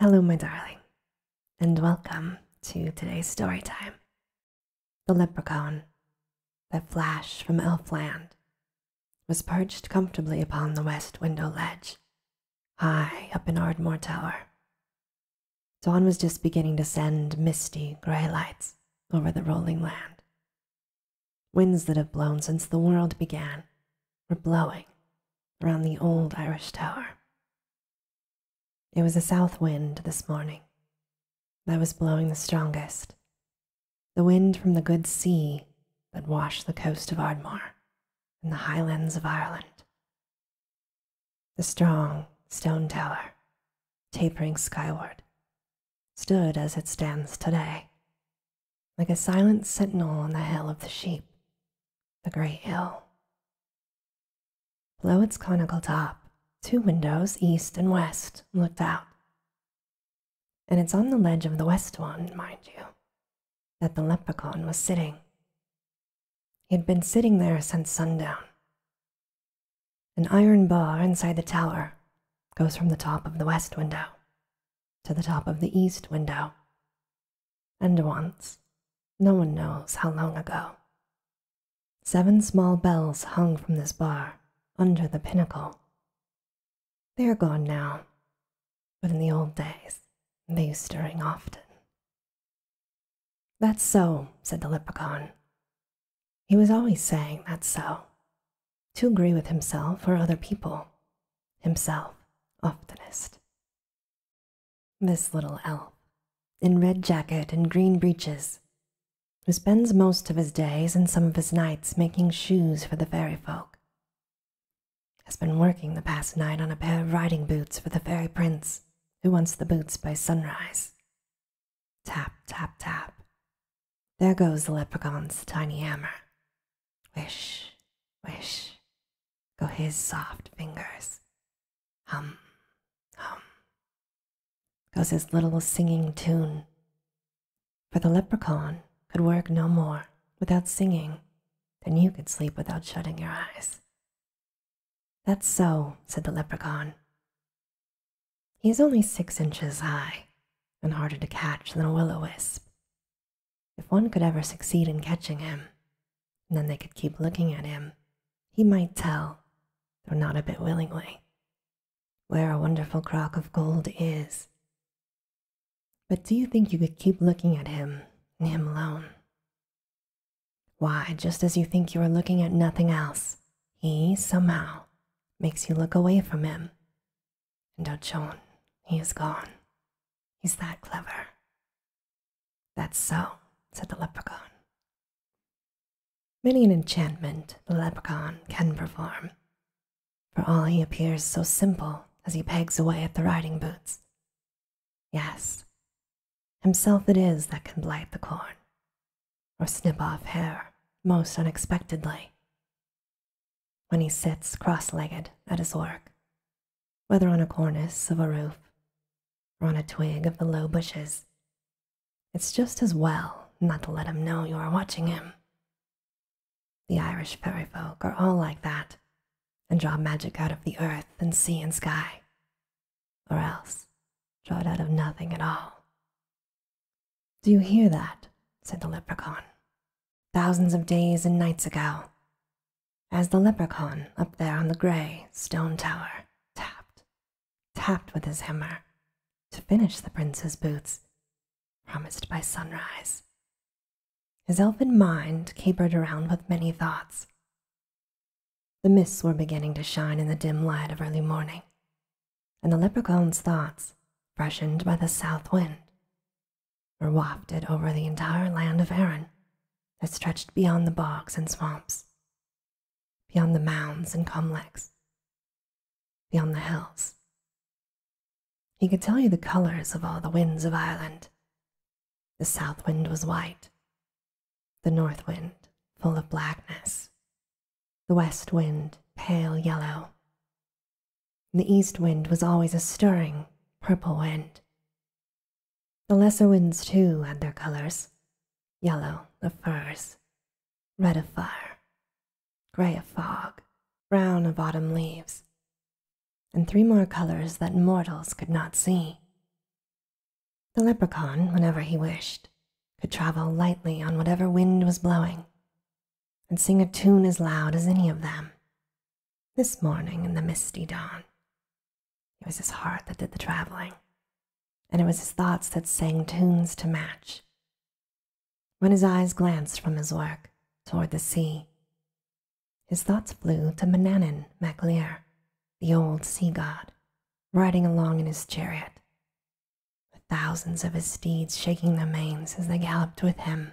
Hello, my darling, and welcome to today's story time The Leprechaun that flash from Elfland was perched comfortably upon the west window ledge, high up in Ardmore Tower. Dawn was just beginning to send misty gray lights over the rolling land. Winds that have blown since the world began were blowing Round the old Irish Tower. It was a south wind this morning that was blowing the strongest, the wind from the good sea that washed the coast of Ardmore and the highlands of Ireland. The strong stone tower, tapering skyward, stood as it stands today, like a silent sentinel on the hill of the sheep, the great hill. Below its conical top, two windows, east and west, looked out. And it's on the ledge of the west one, mind you, that the leprechaun was sitting. He had been sitting there since sundown. An iron bar inside the tower goes from the top of the west window to the top of the east window. And once, no one knows how long ago, seven small bells hung from this bar under the pinnacle. They are gone now, but in the old days they used to ring often. That's so, said the leprechaun. He was always saying that's so, to agree with himself or other people, himself oftenest. This little elf, in red jacket and green breeches, who spends most of his days and some of his nights making shoes for the fairy folk, has been working the past night on a pair of riding boots for the fairy prince, who wants the boots by sunrise. Tap, tap, tap. There goes the leprechaun's tiny hammer. Wish, wish, go his soft fingers. Hum, hum, goes his little singing tune. For the leprechaun could work no more without singing than you could sleep without shutting your eyes. That's so, said the leprechaun. He is only six inches high and harder to catch than a willow wisp, if one could ever succeed in catching him, then they could keep looking at him. He might tell, though not a bit willingly, where a wonderful crock of gold is. But do you think you could keep looking at him and him alone? Why, just as you think you are looking at nothing else, he somehow makes you look away from him and Ochon, he is gone. He's that clever. That's so, said the leprechaun. Many an enchantment the leprechaun can perform, for all he appears so simple as he pegs away at the riding boots. Yes, himself it is that can blight the corn, or snip off hair most unexpectedly, when he sits cross legged at his work, whether on a cornice of a roof or on a twig of the low bushes. It's just as well not to let him know you are watching him. The Irish fairy folk are all like that and draw magic out of the earth and sea and sky, or else draw it out of nothing at all. Do you hear that? said the leprechaun thousands of days and nights ago, as the leprechaun up there on the gray stone tower tapped, tapped with his hammer to finish the prince's boots, promised by sunrise. His elfin mind capered around with many thoughts. The mists were beginning to shine in the dim light of early morning, and the leprechaun's thoughts, freshened by the south wind, were wafted over the entire land of Erin that stretched beyond the bogs and swamps, beyond the mounds and comlecks, beyond the hills. He could tell you the colors of all the winds of Ireland. The south wind was white, the north wind full of blackness, the west wind pale yellow, the east wind was always a stirring, purple wind. The lesser winds, too, had their colors yellow of firs, red of fire, gray of fog, brown of autumn leaves, and three more colors that mortals could not see. The leprechaun, whenever he wished, could travel lightly on whatever wind was blowing, and sing a tune as loud as any of them. This morning in the misty dawn, it was his heart that did the traveling, and it was his thoughts that sang tunes to match. When his eyes glanced from his work toward the sea, his thoughts flew to Manannan MacLear, the old sea god, riding along in his chariot, the thousands of his steeds shaking their manes as they galloped with him.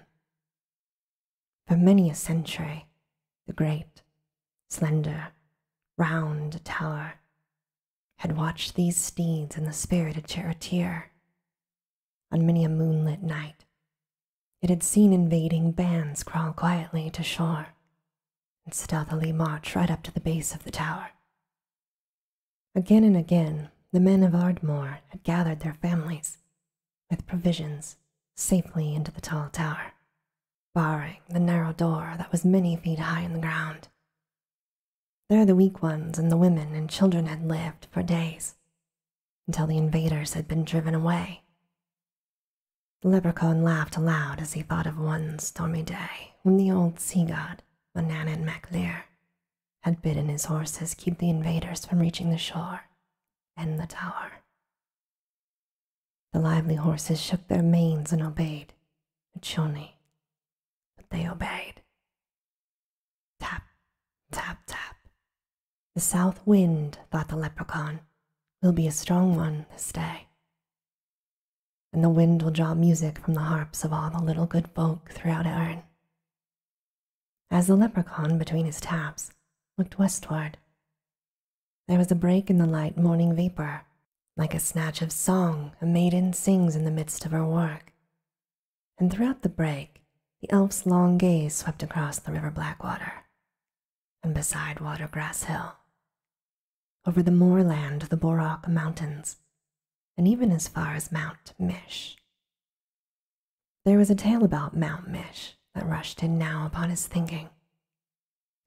For many a century, the great, slender, round tower had watched these steeds and the spirited charioteer. On many a moonlit night, it had seen invading bands crawl quietly to shore and stealthily march right up to the base of the tower, Again and again, the men of Ardmore had gathered their families with provisions safely into the tall tower, barring the narrow door that was many feet high in the ground. There the weak ones and the women and children had lived for days until the invaders had been driven away. The leprechaun laughed aloud as he thought of one stormy day when the old sea god, Manan and MacLear, had bidden his horses keep the invaders from reaching the shore and the tower. The lively horses shook their manes and obeyed the Uchoni, but they obeyed. Tap, tap, tap. The south wind, thought the leprechaun, will be a strong one this day and the wind will draw music from the harps of all the little good folk throughout Erin. As the leprechaun between his taps looked westward, there was a break in the light morning vapor, like a snatch of song a maiden sings in the midst of her work. And throughout the break, the elf's long gaze swept across the river Blackwater and beside water, grass Hill over the moorland to the Borak Mountains, and even as far as Mount Mish. There was a tale about Mount Mish that rushed in now upon his thinking,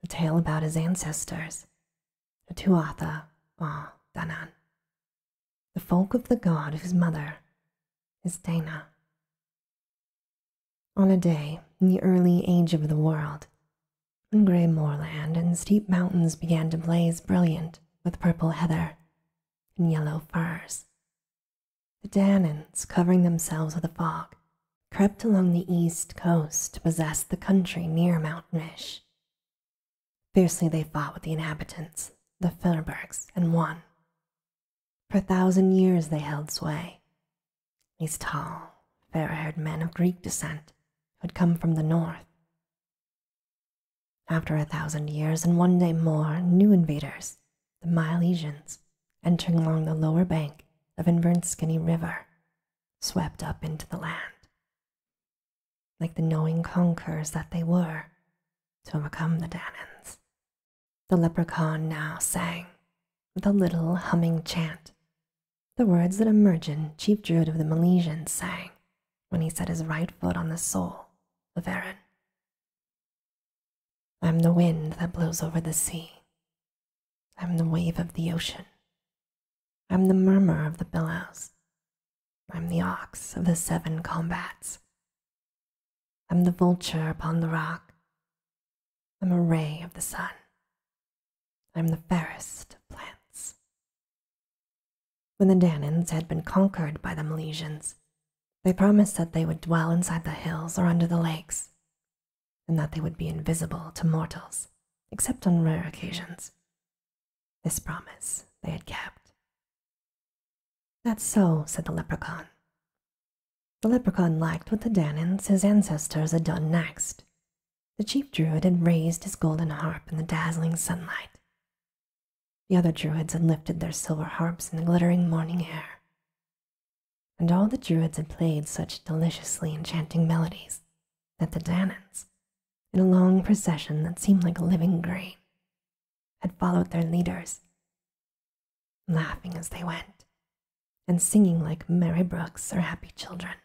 a tale about his ancestors, the Tuatha or Danan, the folk of the god whose mother is Dana. On a day in the early age of the world, and grey moorland and steep mountains began to blaze brilliant with purple heather and yellow firs. The Danans, covering themselves with a fog, crept along the east coast to possess the country near Mount Mish. Fiercely they fought with the inhabitants, the Firbergs, and won. For a thousand years they held sway. These tall, fair haired men of Greek descent who had come from the north after a thousand years and one day more, new invaders, the Milesians, entering along the lower bank of the Invernskinny River, swept up into the land. Like the knowing conquerors that they were, to overcome the Danans, the leprechaun now sang the little humming chant the words that a Emergent, chief druid of the Milesians, sang when he set his right foot on the soul of Erin. I'm the wind that blows over the sea. I'm the wave of the ocean. I'm the murmur of the billows. I'm the ox of the seven combats. I'm the vulture upon the rock. I'm a ray of the sun, I'm the fairest of plants. When the Danans had been conquered by the Milesians, they promised that they would dwell inside the hills or under the lakes, and that they would be invisible to mortals, except on rare occasions. This promise they had kept. That's so, said the leprechaun. The leprechaun liked what the Danans, his ancestors, had done next, the chief druid had raised his golden harp in the dazzling sunlight. The other druids had lifted their silver harps in the glittering morning air. And all the druids had played such deliciously enchanting melodies that the Danans, in a long procession that seemed like living grain, had followed their leaders, laughing as they went and singing like merry brooks or happy children.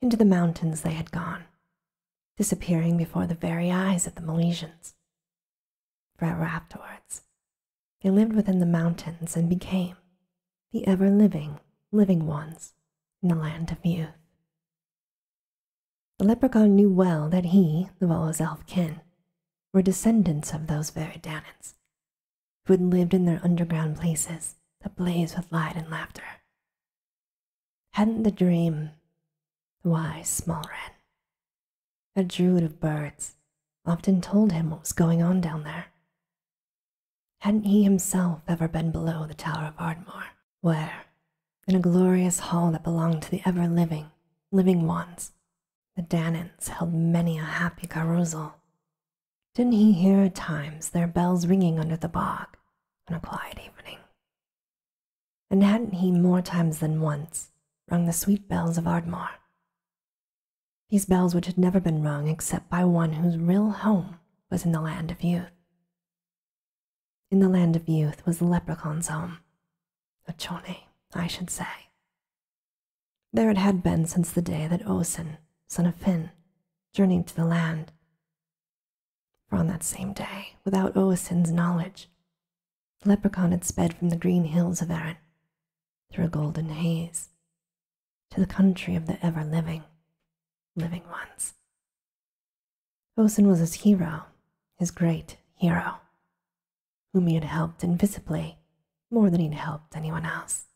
Into the mountains they had gone, disappearing before the very eyes of the Milesians. Forever afterwards, they lived within the mountains and became the ever living, living ones in the land of youth. The leprechaun knew well that he, Luella's elf kin, were descendants of those very Danans, who had lived in their underground places ablaze with light and laughter. Hadn't the dream, wise small wren, a druid of birds, often told him what was going on down there? Hadn't he himself ever been below the Tower of Ardmore, where, in a glorious hall that belonged to the ever living, living ones, the Danans held many a happy carousal, didn't he hear at times their bells ringing under the bog on a quiet evening? And hadn't he more times than once rung the sweet bells of Ardmore? These bells which had never been rung except by one whose real home was in the land of youth. In the land of youth was the leprechaun's home, a chone, I should say, there it had been since the day that Oisin, son of Finn, journeyed to the land. For on that same day, without Oisin's knowledge, the leprechaun had sped from the green hills of Erin, through a golden haze, to the country of the ever living, living ones. Oisin was his hero, his great hero, whom he had helped invisibly more than he had helped anyone else.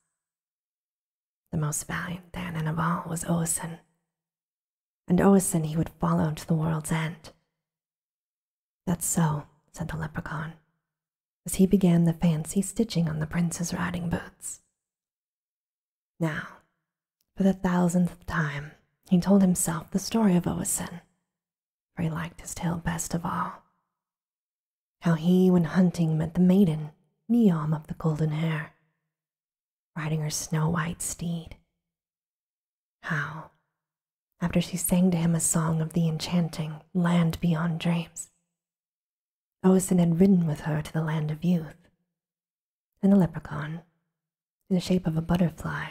The most valiant Danon of all was Oisin, and Oisin he would follow to the world's end. That's so, said the leprechaun, as he began the fancy stitching on the prince's riding boots. Now, for the thousandth time, he told himself the story of Oisin, for he liked his tale best of all, how he, when hunting, met the maiden, Neom of the golden hair, riding her snow white steed. How, after she sang to him a song of the enchanting land beyond dreams, Oisin had ridden with her to the land of youth, and the leprechaun, in the shape of a butterfly,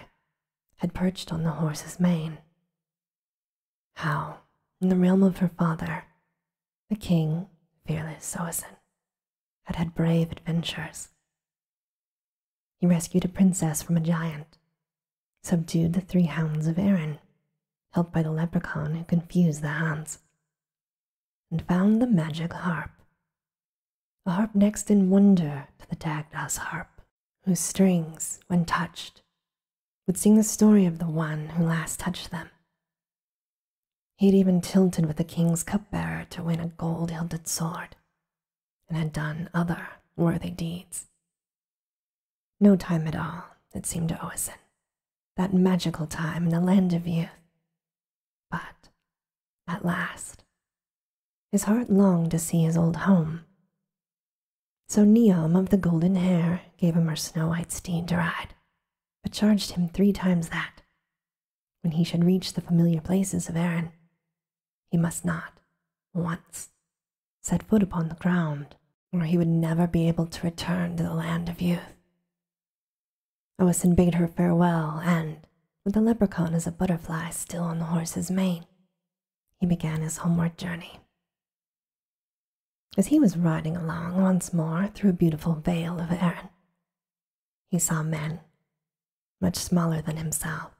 had perched on the horse's mane how, in the realm of her father, the king, fearless Soasin, had had brave adventures. He rescued a princess from a giant, subdued the three hounds of Erin, helped by the leprechaun who confused the hounds, and found the magic harp. A harp next in wonder to the Dagda's harp, whose strings, when touched, would sing the story of the one who last touched them. he had even tilted with the king's cupbearer to win a gold hilted sword, and had done other worthy deeds. No time at all, it seemed to Oisin, that magical time in the land of youth. But at last, his heart longed to see his old home, so Niom of the golden hair gave him her snow white steed to ride, but charged him three times that. When he should reach the familiar places of Erin, he must not, once, set foot upon the ground, or he would never be able to return to the land of youth. Oisin bade her farewell, and, with the leprechaun as a butterfly still on the horse's mane, he began his homeward journey. As he was riding along once more through a beautiful vale of Erin, he saw men, much smaller than himself,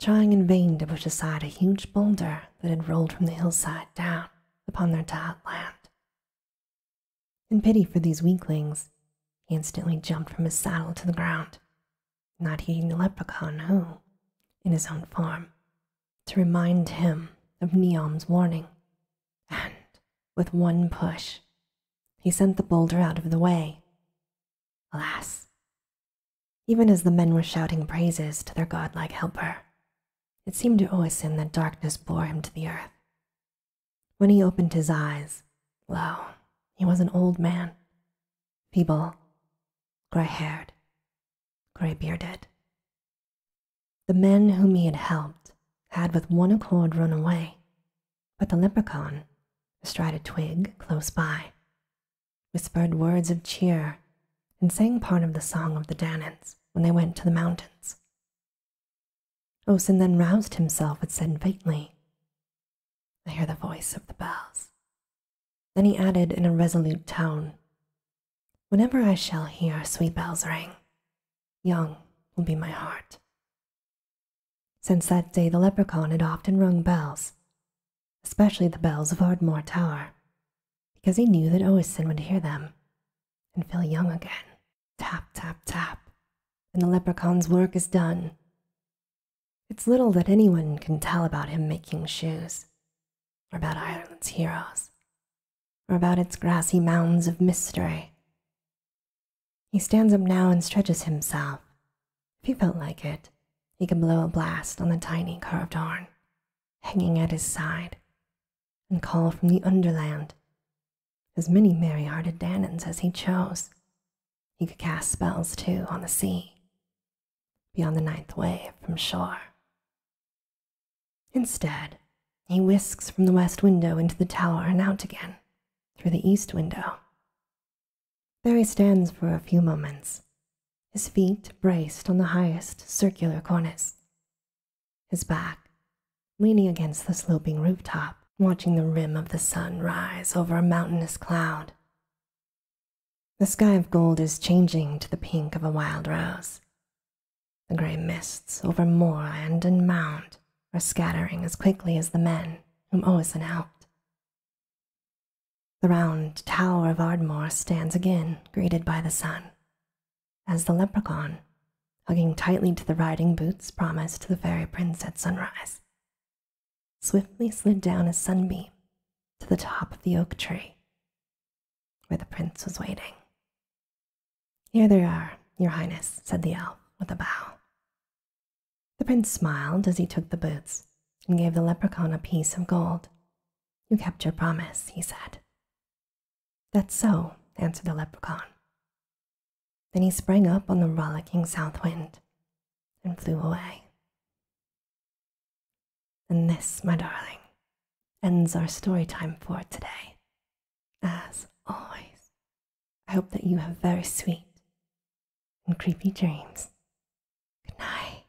trying in vain to push aside a huge boulder that had rolled from the hillside down upon their tiled land. In pity for these weaklings, he instantly jumped from his saddle to the ground, not heeding the leprechaun who, in his own form, to remind him of Neom's warning, and with one push, he sent the boulder out of the way. Alas, even as the men were shouting praises to their godlike helper, it seemed to Oisin that darkness bore him to the earth. When he opened his eyes, lo, he was an old man, feeble, gray haired, grey-bearded. The men whom he had helped had with one accord run away, but the leprechaun, astride a twig close by, whispered words of cheer and sang part of the song of the Danans when they went to the mountains. Osin then roused himself and said faintly, I hear the voice of the bells. Then he added in a resolute tone, Whenever I shall hear sweet bells ring, young will be my heart. Since that day, the leprechaun had often rung bells, especially the bells of Ardmore Tower, because he knew that Oisin would hear them and feel young again. Tap, tap, tap, and the leprechaun's work is done. It's little that anyone can tell about him making shoes, or about Ireland's heroes, or about its grassy mounds of mystery. He stands up now and stretches himself. If he felt like it, he could blow a blast on the tiny carved horn hanging at his side and call from the underland as many merry hearted Danans as he chose. He could cast spells too on the sea beyond the ninth wave from shore. Instead, he whisks from the west window into the tower and out again through the east window. There he stands for a few moments, his feet braced on the highest circular cornice, his back leaning against the sloping rooftop, watching the rim of the sun rise over a mountainous cloud. The sky of gold is changing to the pink of a wild rose. The gray mists over moorland and mound are scattering as quickly as the men whom Oisin helped. The round tower of Ardmore stands again, greeted by the sun, as the leprechaun, hugging tightly to the riding boots promised to the fairy prince at sunrise, swiftly slid down a sunbeam to the top of the oak tree where the prince was waiting. Here they are, Your Highness, said the elf with a bow. The prince smiled as he took the boots and gave the leprechaun a piece of gold. You kept your promise, he said. That's so, answered the leprechaun. Then he sprang up on the rollicking south wind and flew away. And this, my darling, ends our story time for today. As always, I hope that you have very sweet and creepy dreams. Good night.